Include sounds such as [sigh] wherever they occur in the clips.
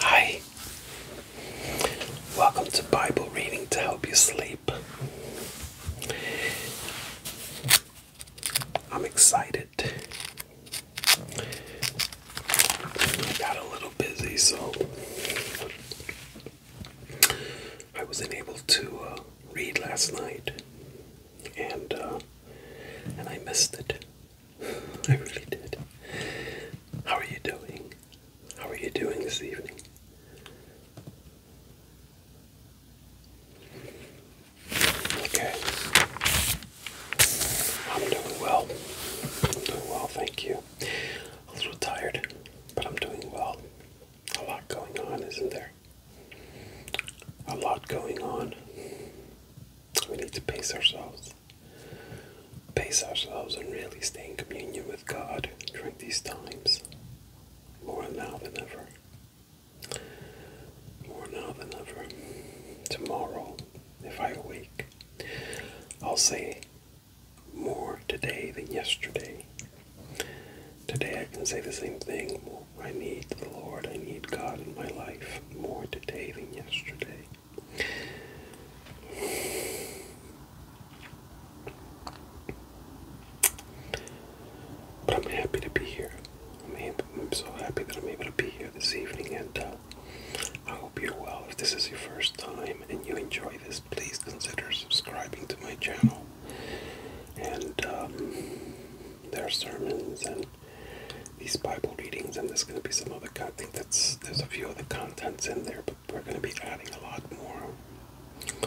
Hi, welcome to Bible reading to help you sleep. I'm excited I got a little busy, so I wasn't able to uh, read last night, and uh, and I missed it. [laughs] I really did. How are you doing? How are you doing this evening? Okay. I'm doing well. I'm doing well, thank you. A little tired, but I'm doing well. A lot going on, isn't there? A lot going on. We need to pace ourselves. Pace ourselves and really stay in communion with God during these times. More now than ever. More now than ever. Tomorrow, if I awake, I'll see more today than yesterday. Today I can say the same thing. I need the Lord. I need God in my life more today than yesterday. But I'm happy to be here. I'm, so happy that I'm able to be here this evening and uh, I hope you're well. If this is your first time and you enjoy this, please consider subscribing to my channel. And um, there are sermons and these Bible readings, and there's going to be some other content. That's there's a few other contents in there, but we're going to be adding a lot more.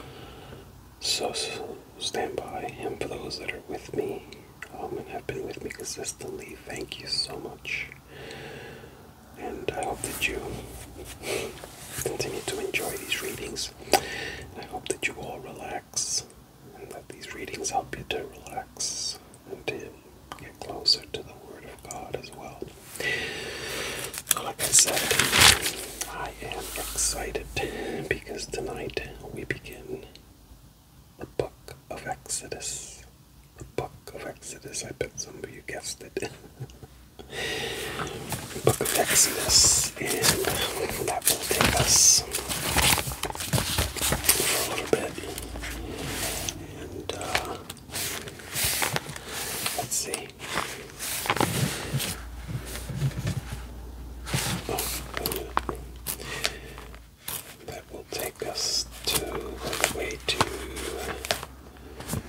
So, stand by, and for those that are with me um, and have been with me consistently, thank you so much. And I hope that you continue to enjoy these readings. I hope that you all relax and that these readings help you to relax and to get closer to the Word of God as well. like I said, I am excited because tonight we begin the book of Exodus. Book of Exodus. I bet some of you guessed it. [laughs] Book of Exodus, and that will take us for a little bit. And uh, let's see. Oh, that will take us to the way to for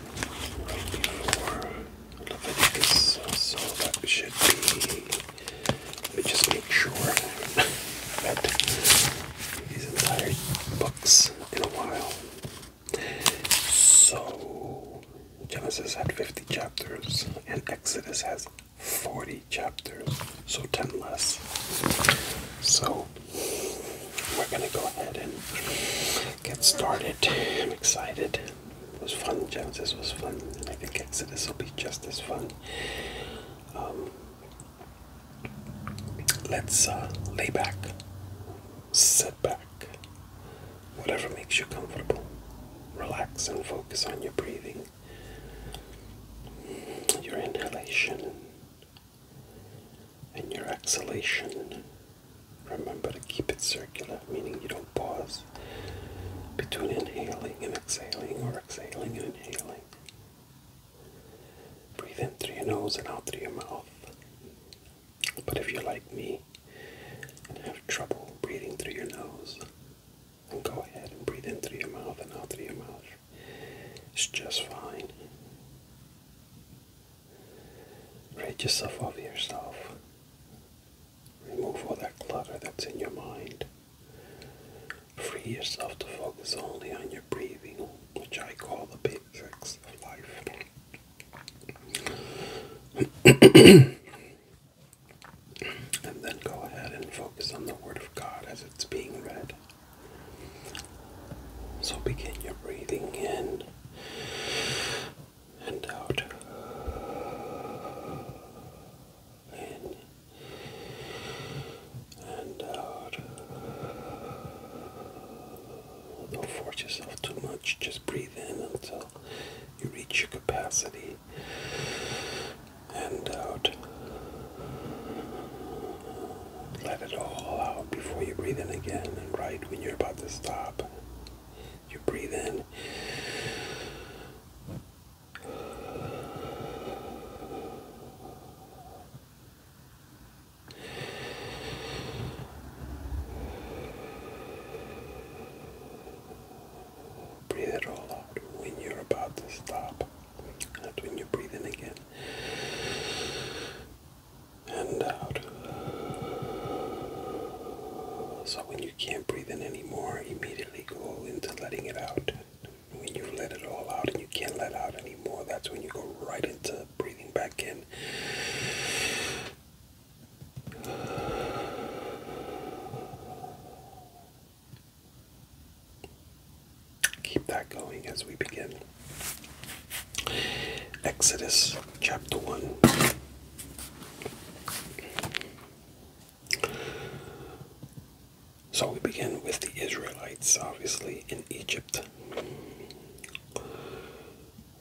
Leviticus, so that should be. Let me just make sure that these entire books in a while. So, Genesis had 50 chapters, and Exodus has 40 chapters, so 10 less. So, we're going to go ahead and get started. I'm excited. It was fun. Jones. This was fun. I think Exodus will be just as fun. Um, let's uh, lay back, sit back, whatever makes you comfortable. Relax and focus on your breathing, your inhalation, and your exhalation. Remember to keep it circular, meaning you don't pause between inhaling and exhaling or exhaling and inhaling. Breathe in through your nose and out through your mouth. But if you're like me and have trouble breathing through your nose, then go ahead and breathe in through your mouth and out through your mouth. It's just fine. Rid yourself of yourself. Remove all that clutter that's in your mind. Free yourself to focus only on your breathing, which I call the basics of life. [coughs] and then go ahead and focus on the Word of God as it's being read. So begin your breathing in and out. In and out. Don't force yourself too much, just breathe in until you reach your capacity. And out. Let it all out before you breathe in again. And right when you're about to stop, you breathe in. Breathe it all out when you're about to stop. That's when you breathe in again and out. So when you can't breathe in anymore, immediately go into letting it out. When you let it all out and you can't let out anymore, that's when you go right into breathing back in. Keep that going as we begin. Exodus chapter 1. So we begin with the Israelites, obviously, in Egypt.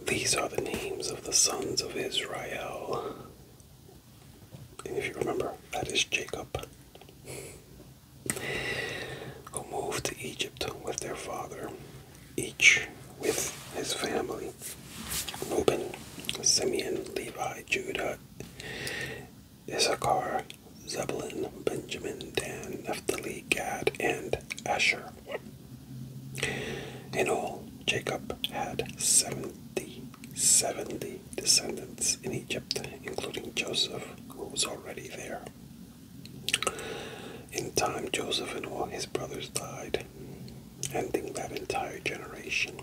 These are the names of the sons of Israel. And if you remember, that is Jacob, who moved to Egypt with their father each with his family Reuben, Simeon, Levi, Judah, Issachar, Zebulun, Benjamin, Dan, Naphtali, Gad, and Asher. In all, Jacob had 70, 70 descendants in Egypt, including Joseph, who was already there. In time, Joseph and all his brothers died, ending that entire generation.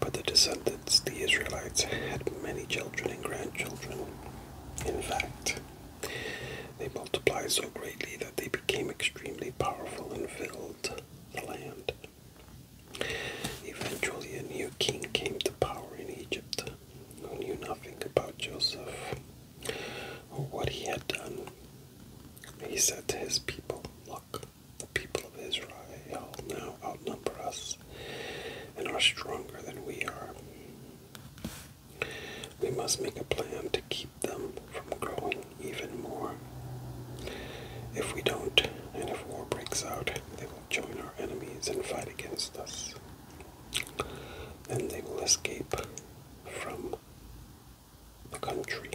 But the descendants, the Israelites, had many children and grandchildren. In fact, they multiplied so greatly that they became extremely powerful and filled the land. Eventually, a new king came to power in Egypt who knew nothing about Joseph what he had done. He said to his people, Look, the people of Israel now outnumber us and are stronger than we are. We must make a plan to keep them from growing even more. If we don't, and if war breaks out, they will join our enemies and fight against us. Then they will escape from the country.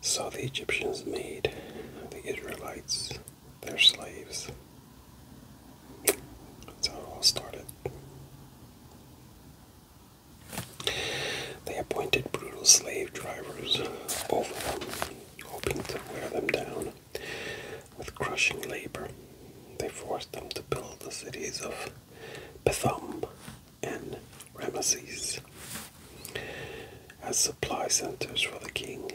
So the Egyptians made the Israelites their slaves. That's how it all started. They appointed brutal slave drivers over them, hoping to wear them down with crushing labor. They forced them to build the cities of Bethel and Ramesses as supply centers for the king.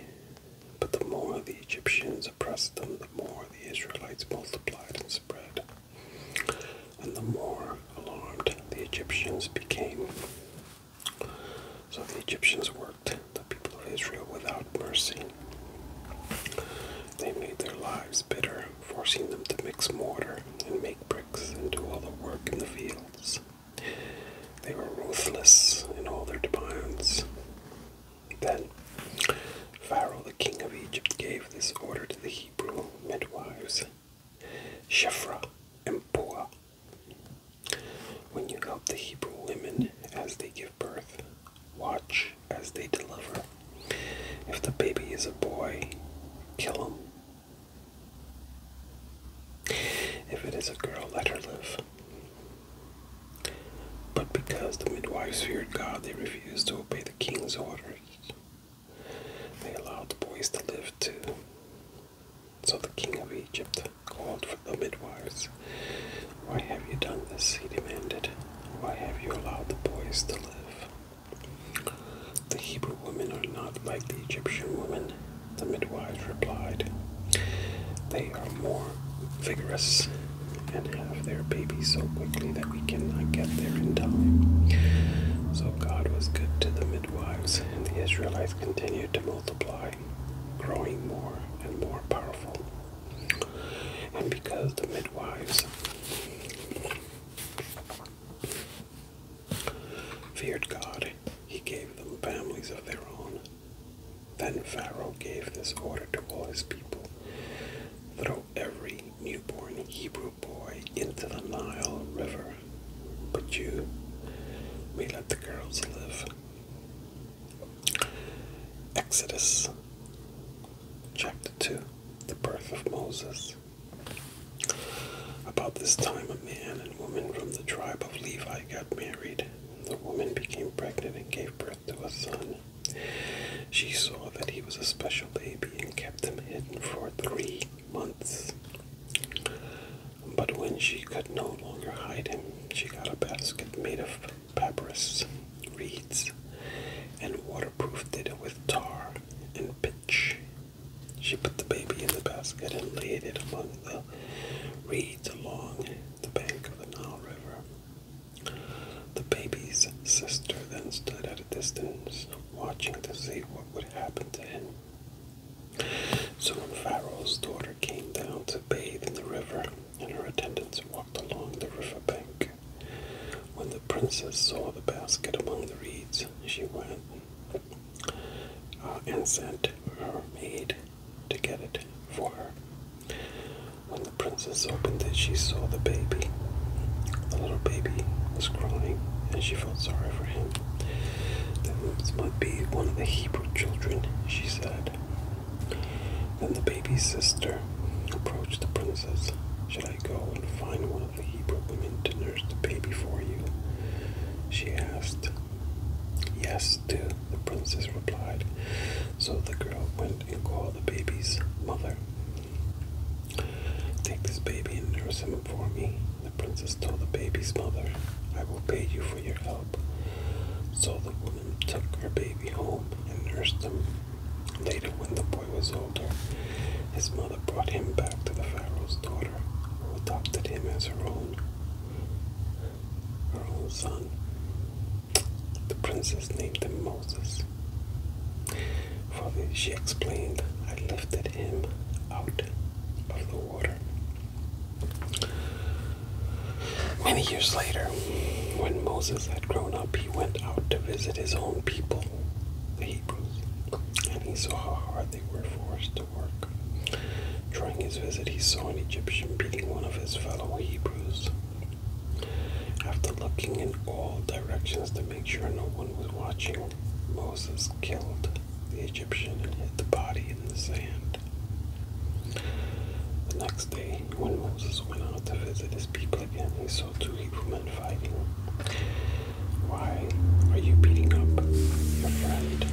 But the more the Egyptians oppressed them, the more the Israelites multiplied and spread. And the more alarmed the Egyptians became. So the Egyptians worked the people of Israel without mercy. They made their lives bitter, forcing them to mix mortar and make bricks and do all the work in the fields. They were ruthless in all their demands. Then Pharaoh, the king of Egypt, gave this order to the Hebrew midwives Shephra and Puah. When you help the Hebrew women as they give birth, Watch as they deliver. If the baby is a boy, kill him. If it is a girl, let her live. But because the midwives feared God, they refused to obey the king's orders. They allowed the boys to live too. So the king of Egypt called for the midwives why have you done this? he demanded. Why have you allowed the boys to live? The Hebrew women are not like the Egyptian women, the midwives replied. They are more vigorous and have their babies so quickly that we cannot get there in time. So God was good to the midwives, and the Israelites continued to multiply, growing more and more powerful. And because the midwives feared God, he gave them families of their own. Then Pharaoh gave this order to all his people throw every newborn Hebrew boy into the Nile River, but you may let the girls live. Exodus Chapter 2 The Birth of Moses. About this time, a man and woman from the tribe of Levi got married. The woman became pregnant and gave birth to a son. She saw that he was a special baby and kept him hidden for three months. But when she could no longer hide him, she got a basket made of papyrus, reeds, and waterproofed it with tar and pitch. She put the baby in the basket and laid it among the reeds along the bank of the Nile River. The baby's sister then stood at a distance, watching to see what would happen to him. So when Pharaoh's daughter came down to bathe in the river, and her attendants walked along the riverbank. When the princess saw the basket among the reeds, she went uh, and sent her maid to get it for her. When the princess opened it, she saw the baby. The little baby was crying, and she felt sorry for him. This might be one of the Hebrew children, she said. Then the baby's sister approached the princess. Should I go and find one of the Hebrew women to nurse the baby for you? She asked. Yes, do, the princess replied. So the girl went and called the baby's mother. Take this baby and nurse him for me, the princess told the baby's mother. I will pay you for your help. So the woman took her baby home and nursed him Later, when the boy was older, his mother brought him back to the Pharaoh's daughter, who adopted him as her own. Her own son. The princess named him Moses. For she explained, I lifted him out of the water. Many years later, when Moses had grown up, he went out to visit his own people, the Hebrews, and he saw how hard they were forced to work. During his visit, he saw an Egyptian beating one of his fellow Hebrews. After looking in all directions to make sure no one was watching, Moses killed the Egyptian and hid the body in the sand. The next day, when Moses went out to visit his people again, he so do Hebrew men fighting. Why are you beating up your friend?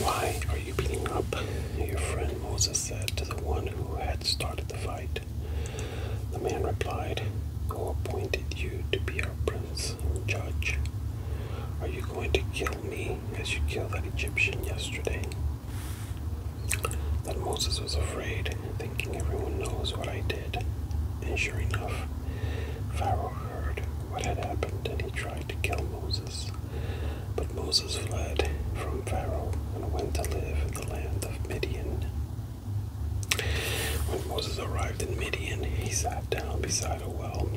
Why are you beating up? Your friend Moses said to the one who had started the fight, the man replied, Who appointed you to be our prince and judge? Are you going to kill me as you killed that Egyptian yesterday? That Moses was afraid, thinking everyone knows what I did. And sure enough, Pharaoh heard what had happened and he tried to kill Moses. But Moses fled from Pharaoh and went to live in the land of Midian. When Moses arrived in Midian, he sat down beside a well.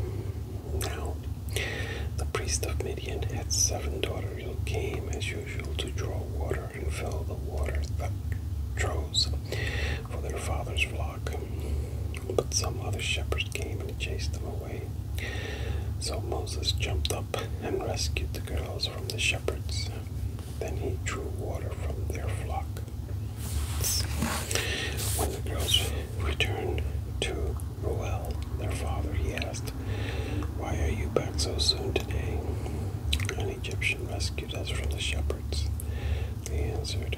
Now, the priest of Midian had seven daughters who came as usual to draw water and fill the water that for their father's flock. But some other shepherds came and chased them away. So Moses jumped up and rescued the girls from the shepherds. Then he drew water from their flock. When the girls returned to Ruel, their father, he asked, Why are you back so soon today? An Egyptian rescued us from the shepherds, they answered,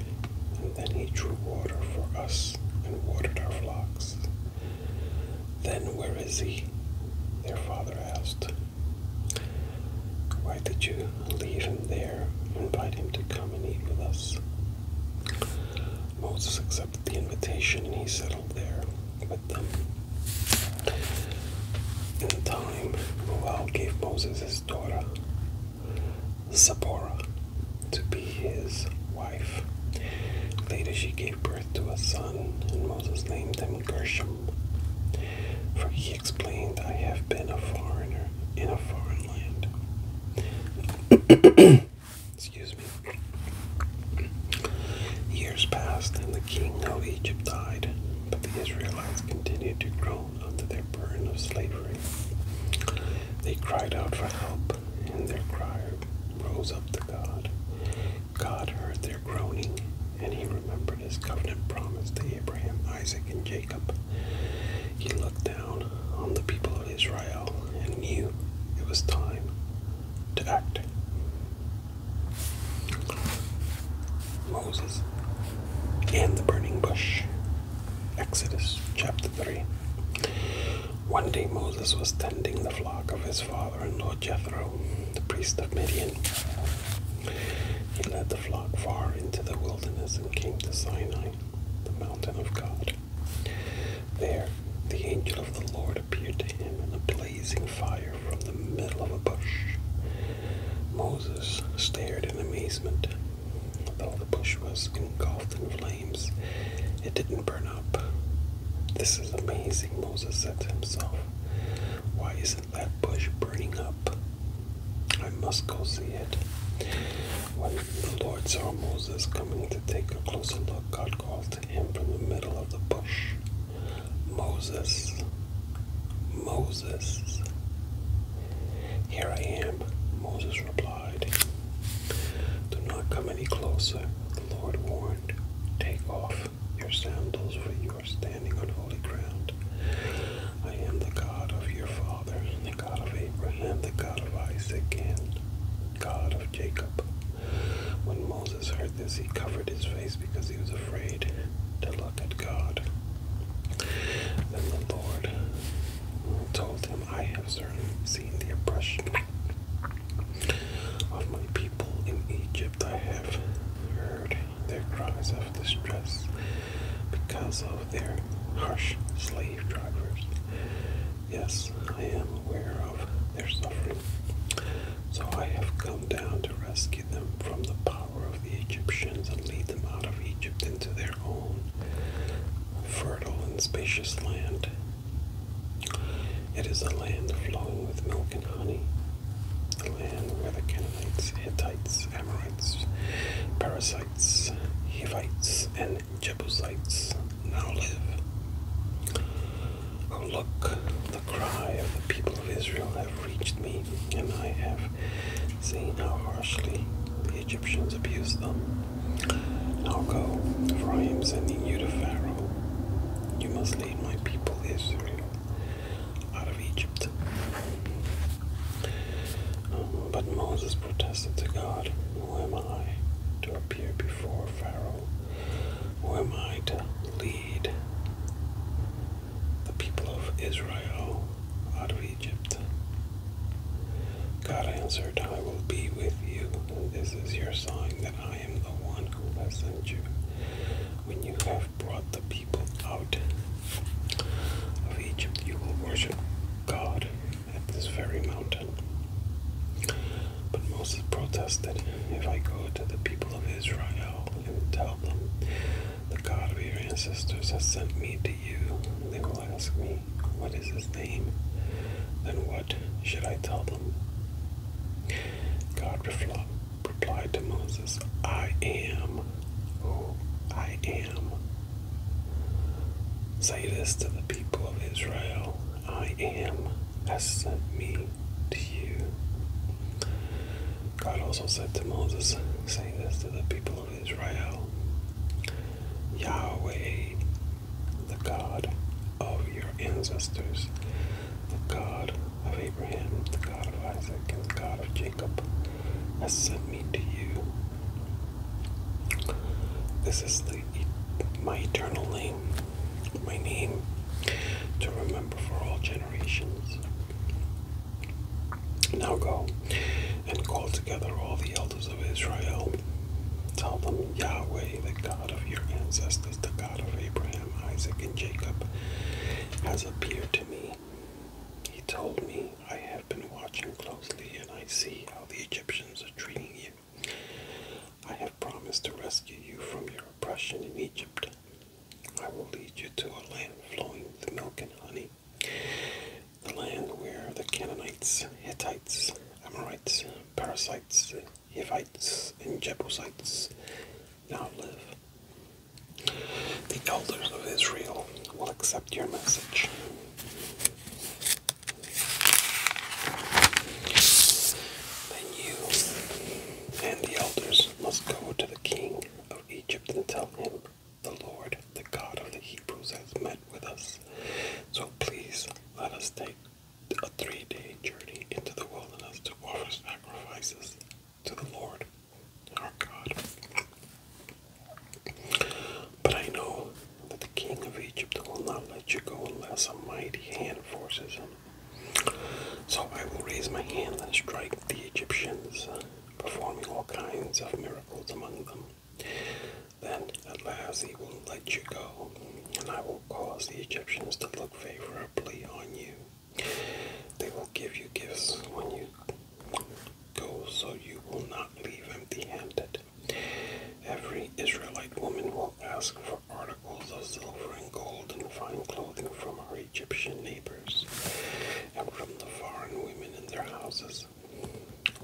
and then he drew water for us and watered our flocks. Then where is he? Their father asked. Why did you leave him there? Invite him to come and eat with us. Moses accepted the invitation and he settled there with them. In time, Moab gave Moses his daughter, Zipporah, to be his wife. Later, she gave birth to a son, and Moses named him Gershom. For he explained, I have been a foreigner in a foreign land. [coughs] Excuse me. Years passed, and the king of Egypt died, but the Israelites continued to groan under their burden of slavery. They cried out for help, and their cry rose up to God. God heard their groaning, and he remembered his covenant promise to Abraham, Isaac, and Jacob, he looked down on the people of Israel and knew it was time to act. Moses and the burning bush. Exodus chapter 3. One day Moses was tending the flock of his father in law Jethro the priest of Midian. He led the flock far into the wilderness and came to Sinai, the mountain of God. There, the angel of the Lord appeared to him in a blazing fire from the middle of a bush. Moses stared in amazement. Though the bush was engulfed in flames, it didn't burn up. This is amazing, Moses said to himself. Why is it? that bush burning up? I must go see it. When the Lord saw Moses coming to take a closer look, God called to him from the middle of the bush Moses, Moses. Here I am, Moses replied. Do not come any closer, the Lord warned. Take off your sandals, for you are standing on holy ground. I am the God of your father, the God of Abraham, the God of Isaac, and God of Jacob. When Moses heard this, he covered his face because he was afraid to look at God. Then the Lord told him, I have certainly seen the oppression of my people in Egypt. I have heard their cries of distress because of their harsh slave drivers. Yes, I am aware of their suffering, so I have come down to rescue them from the power of the Egyptians and lead them out of Egypt into their own fertile and spacious land. It is a land flowing with milk and honey, the land where the Canaanites, Hittites, Amorites, Parasites, Hivites, and Jebusites now live. Oh, look, the cry of the people of Israel have reached me, and I have seen how harshly the Egyptians abused them. Now go, for I am sending you to Pharaoh. You must lead my people Israel out of Egypt. Um, but Moses protested to God, Who am I to appear before Pharaoh? Who am I to lead the people of Israel out of Egypt? God answered, I will be with you, this is your sign that I am the one who has sent you. When you have brought the people out of Egypt, you will worship God at this very mountain. But Moses protested, If I go to the people of Israel and tell them, The God of your ancestors has sent me to you, they will ask me, What is his name? Then what should I tell them? God replied to Moses, I am who I am. Say this to the people of Israel I am has sent me to you. God also said to Moses, Say this to the people of Israel Yahweh, the God of your ancestors, the God of Abraham, the God of Isaac, and the God of Jacob Jacob has sent me to you. This is the, my eternal name, my name to remember for all generations. Now go and call together all the elders of Israel. Tell them Yahweh, the God of your ancestors, the God of Abraham, Isaac, and Jacob, has appeared to me. He told me, I have been watching closely and I see how the Egyptians are treating you. I have promised to rescue you from your oppression in Egypt. I will lead you to a land flowing with milk and honey, the land where the Canaanites, Hittites, Amorites, Parasites, Hivites, and Jebusites now live. The elders of Israel will accept your message. Then you and the elders must go to the king of Egypt and tell him, The Lord, the God of the Hebrews, has met with us. So please let us take a three day journey into the wilderness to offer sacrifices to the Lord our God. But I know that the king of Egypt will not let you go unless a mighty hand forces him. So I will raise my hand and strike the Egyptians, uh, performing all kinds of miracles among them. Then at last he will let you go, and I will cause the Egyptians to look favorably on you. They will give you gifts when you Go so you will not leave empty handed. Every Israelite woman will ask for articles of silver and gold and fine clothing from her Egyptian neighbors and from the foreign women in their houses.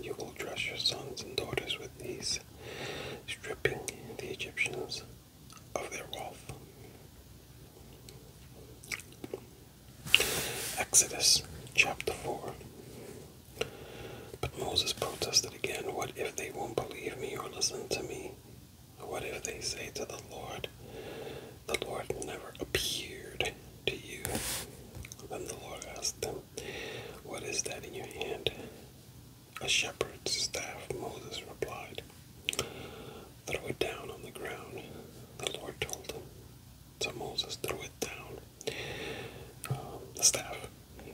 You will dress your sons and daughters with these, stripping the Egyptians of their wealth. Exodus chapter 4. But Moses protested again, What if they won't believe me or listen to me? What if they say to the Lord, The Lord never appeared to you? Then the Lord asked them, What is that in your hand? A shepherd's staff, Moses replied. Throw it down on the ground, the Lord told him. So Moses threw it down. Um, the staff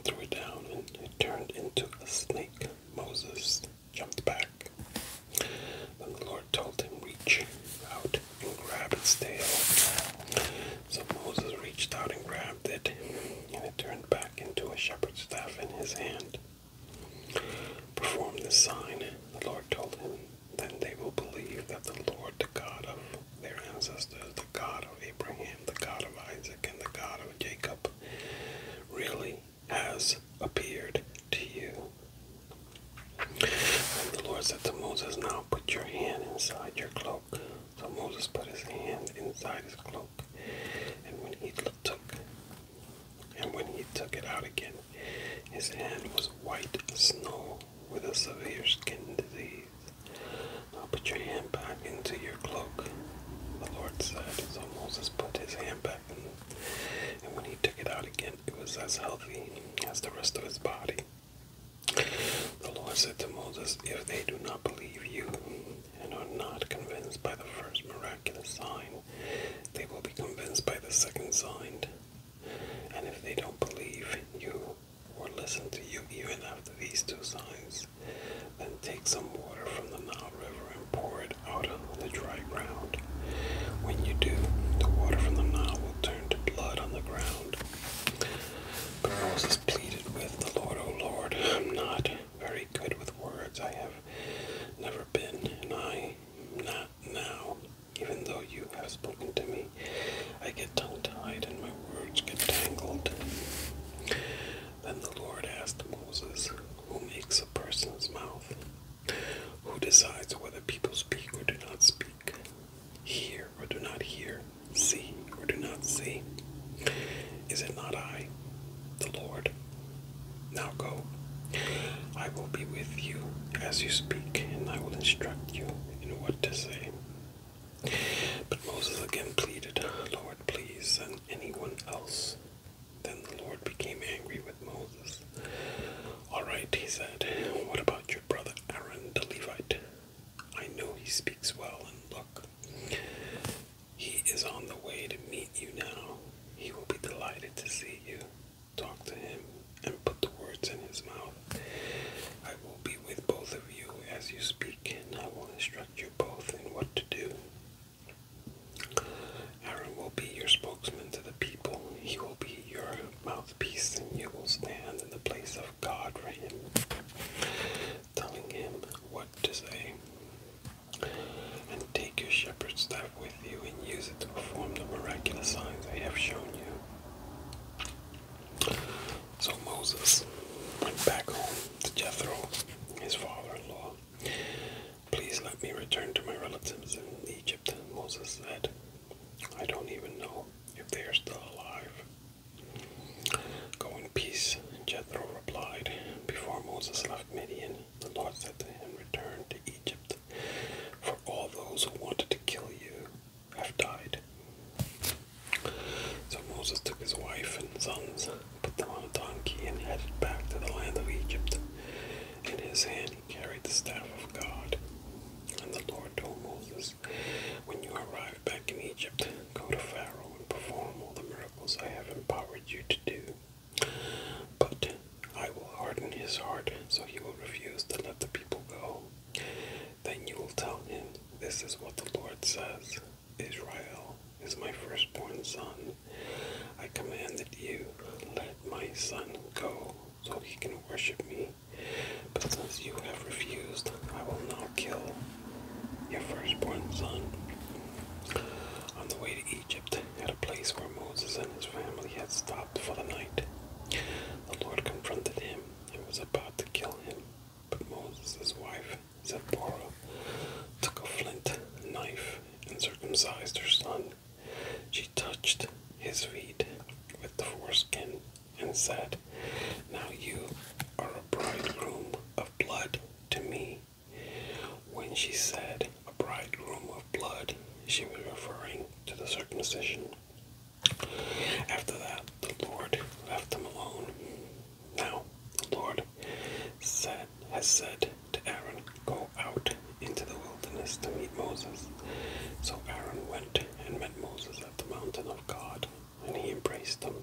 threw it down and it turned into a snake. Moses jumped back. Then the Lord told him, Reach out and grab its tail. So Moses reached out and grabbed it, and it turned back into a shepherd's staff in his hand. Perform the sign, the Lord told him. Then they will believe that the Lord, the God of their ancestors, the God of Abraham, the God of Isaac, and the God of Jacob, really has appeared to you. And the Lord said to Moses, Now put your hand inside your cloak. So Moses put his hand inside his cloak, and when he took and when he took it out again, his hand was white snow with a severe skin disease. Now put your hand back into your cloak, the Lord said. So Moses put his hand back and when he took it out again, it was as healthy as the rest of his body. The Lord said to Moses, If they do not believe you and are not convinced by the first miraculous sign, they will be convinced by the second sign. And if they don't believe you or listen to you even after these two signs, then take some water from the Nile River and pour it out on the dry ground. When you do, the water from the Nile will turn to blood on the ground. Moses pleaded with the Lord, O Lord, I'm not very good with words. I have never been, and I now. Even though you have spoken to me, I get tongue tied and my words get tangled. Then the Lord asked Moses, Who makes a person's mouth? Who decides whether people speak or do not speak? Hear or do not hear? See or do not see? Is it not I, the Lord? Now go. I will be with you as you speak, and I will instruct you in what to say. But Moses again pleaded, Lord, please send anyone else. Then the Lord became angry with Moses. All right, he said, what about your brother Aaron the Levite? I know he speaks well, and look, he is on the way to meet you now. He will be delighted to see you talk to him and put the words in his mouth. I will be with both of you as you speak, and I will instruct you both in what to do. Aaron will be your spokesman to the people. He will be your mouthpiece, and you will stand in the place of God for him, telling him what to say. And take your shepherd's staff with you and use it to perform the miraculous signs I have shown you. So Moses went back home to Jethro, his father in law. Please let me return to my relatives in Egypt, Moses said. I don't even know if they are still alive. Go in peace, Jethro replied. Before Moses left Midian, the Lord said to him, Return to Egypt, for all those who wanted to kill you have died. So Moses took his wife and sons, put them on a donkey, and headed back to the land of Egypt. In his hand he carried the staff of God. And the Lord told Moses, When you arrive back in Egypt, go to Pharaoh and perform all the miracles I have empowered you to do. But I will harden his heart, so he will refuse to let the people go. Then you will tell him, This is what the Lord says Israel is my firstborn son. I commanded you, Let my son go, so he can worship me. But since you have refused, I will not kill your firstborn son. On the way to Egypt, at a place where Moses and his family had stopped for the night, the Lord confronted him and was about to kill him, but Moses' wife, Zipporah, took a flint knife and circumcised her son. She touched his feet with the foreskin and said, Now you are a bridegroom of blood to me. When she said a bridegroom of blood, she was referring to the circumcision. After that, the Lord left them alone. Now, the Lord said, has said to Aaron, Go out into the wilderness to meet Moses. So Aaron went and met Moses at the mountain of God, and he embraced him.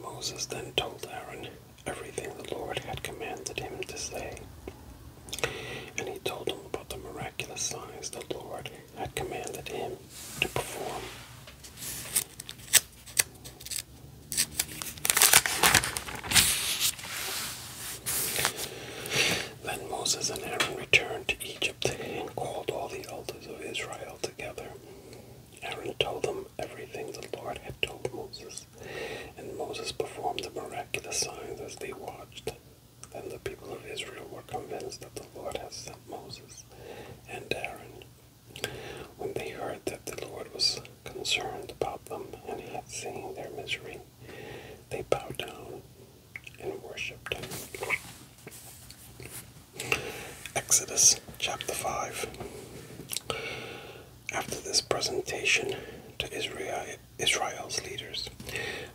Moses then told Aaron everything the Lord had commanded him to say, and he told him about the miraculous miraculous signs the Lord had commanded him to perform. Then Moses and Aaron returned to Egypt and called all the elders of Israel together. Aaron told them everything the Lord had told Moses, and Moses performed the miraculous signs as they watched. Then the people of Israel were convinced that the Lord had sent Moses and Aaron. When they heard that the Lord was concerned about them and had seen their misery, they bowed down and worshipped him. Exodus chapter 5. After this presentation to Israel, Israel's leaders,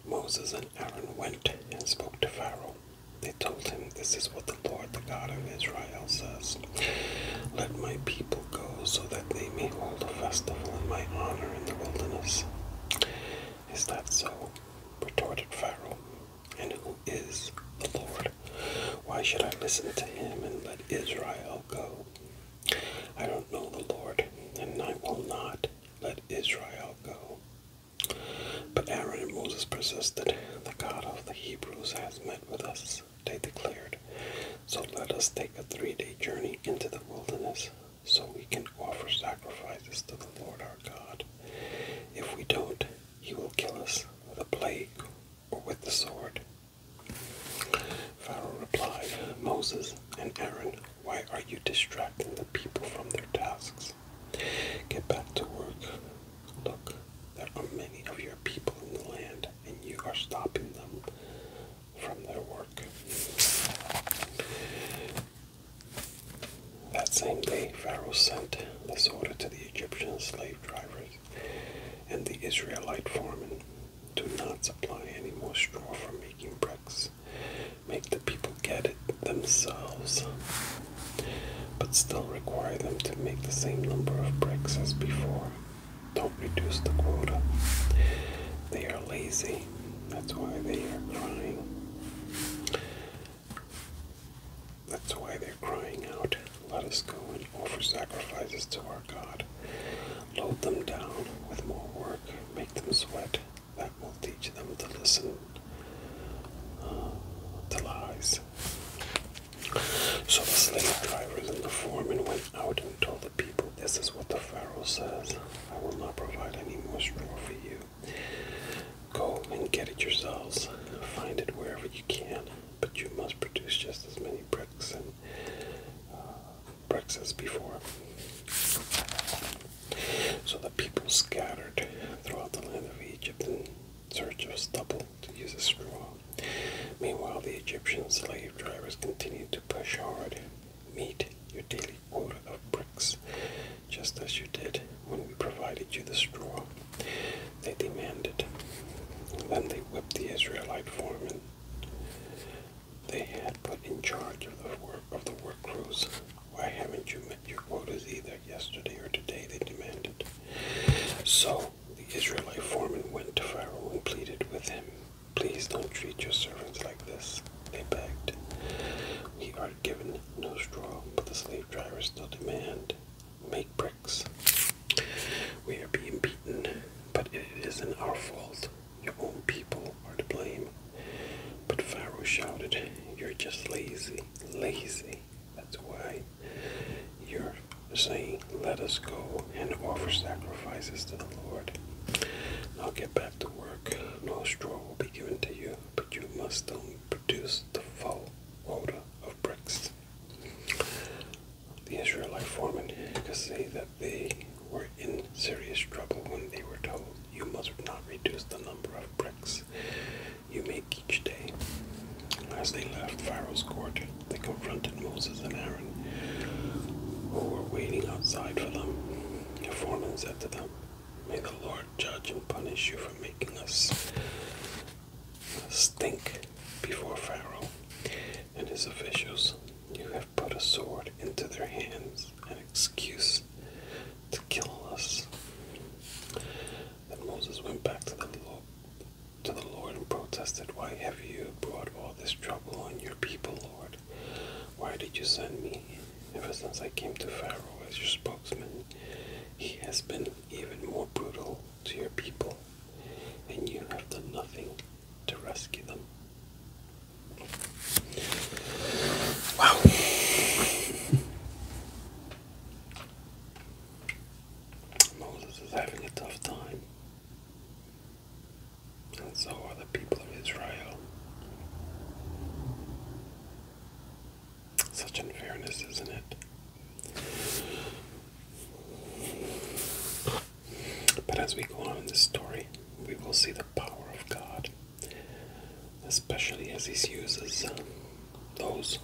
Moses and Aaron went and spoke to Pharaoh. They told him, This is what the Lord, the God of Israel, says Let my people go so that they may hold a festival in my honor in the wilderness. Is that so? retorted Pharaoh. And who is the Lord? Why should I listen to him and let Israel go? I don't know the Lord, and I will not let Israel go. But Aaron and Moses persisted. The God of the Hebrews has met with us, they declared. So let us take a three day journey into the wilderness so we can offer sacrifices to the Lord our God. If we don't, he will kill us with a plague or with the sword. Pharaoh replied, Moses and Aaron why are you distracting the people from their tasks? Get back to work. Look, there are many of your people in the land, and you are stopping them from their work. That same day, Pharaoh sent this order to the Egyptian slave drivers and the Israelite foremen Do not supply any more straw for making bricks make the people get it themselves, but still require them to make the same number of bricks as before. Don't reduce the quota. They are lazy. That's why they are crying. That's why they're crying out. Let us go and offer sacrifices to our God. Load them down with more work. Make them sweat that will teach them to listen uh, to lies. So the slave drivers and the foreman went out and told the people, This is what the Pharaoh says I will not provide any more straw for you. Go and get it yourselves. Find it wherever you can, but you must produce just as many bricks and uh, bricks as before. So the people scattered throughout the land of Egypt in search of stubble to use as straw. Meanwhile, the Egyptian slave drivers continued to push hard. Meet your daily quota of bricks, just as you did when we provided you the straw. They demanded. Then they whipped the Israelite foreman they had put in charge of the work of the work crews. Why haven't you your your is either yesterday or today, they demanded. So the Israelite foreman went to Pharaoh and pleaded with him, Please don't treat your servants like this, they begged. We are given no straw, but the slave drivers still demand, Make bricks. We are being beaten, but it isn't our fault. Your own people are to blame but Pharaoh shouted, You're just lazy, lazy. That's why you're saying, Let us go and offer sacrifices to the Lord. Now get back to work. No straw will be given to you, but you must only produce the full quota of bricks. The Israelite foremen could say that they were in serious trouble when they were told you must not reduce the number of bricks you make each day. As they left Pharaoh's court, they confronted Moses and Aaron, who were waiting outside for them. The foreman said to them, May the Lord judge and punish you for making us stink before Pharaoh and his officials. You have put a sword into their hands an excuse to kill us. Then Moses went back to the Lord, to the Lord and protested, Why have you brought all this trouble on your people, Lord? Why did you send me? Ever since I came to Pharaoh as your spokesman, he has been even more brutal to your people, and you have done nothing to rescue them. Wow. Moses is having a tough time, and so are the people of Israel. Such unfairness, isn't it? But as we go on in this story, we will see the power of God especially as he uses um, those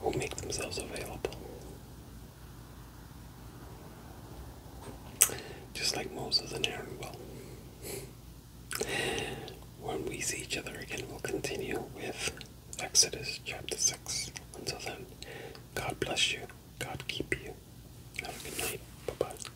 who make themselves available. Just like Moses and Aaron will. When we see each other again, we'll continue with Exodus chapter 6. Until then, God bless you. God keep you. Have a good night. Bye bye.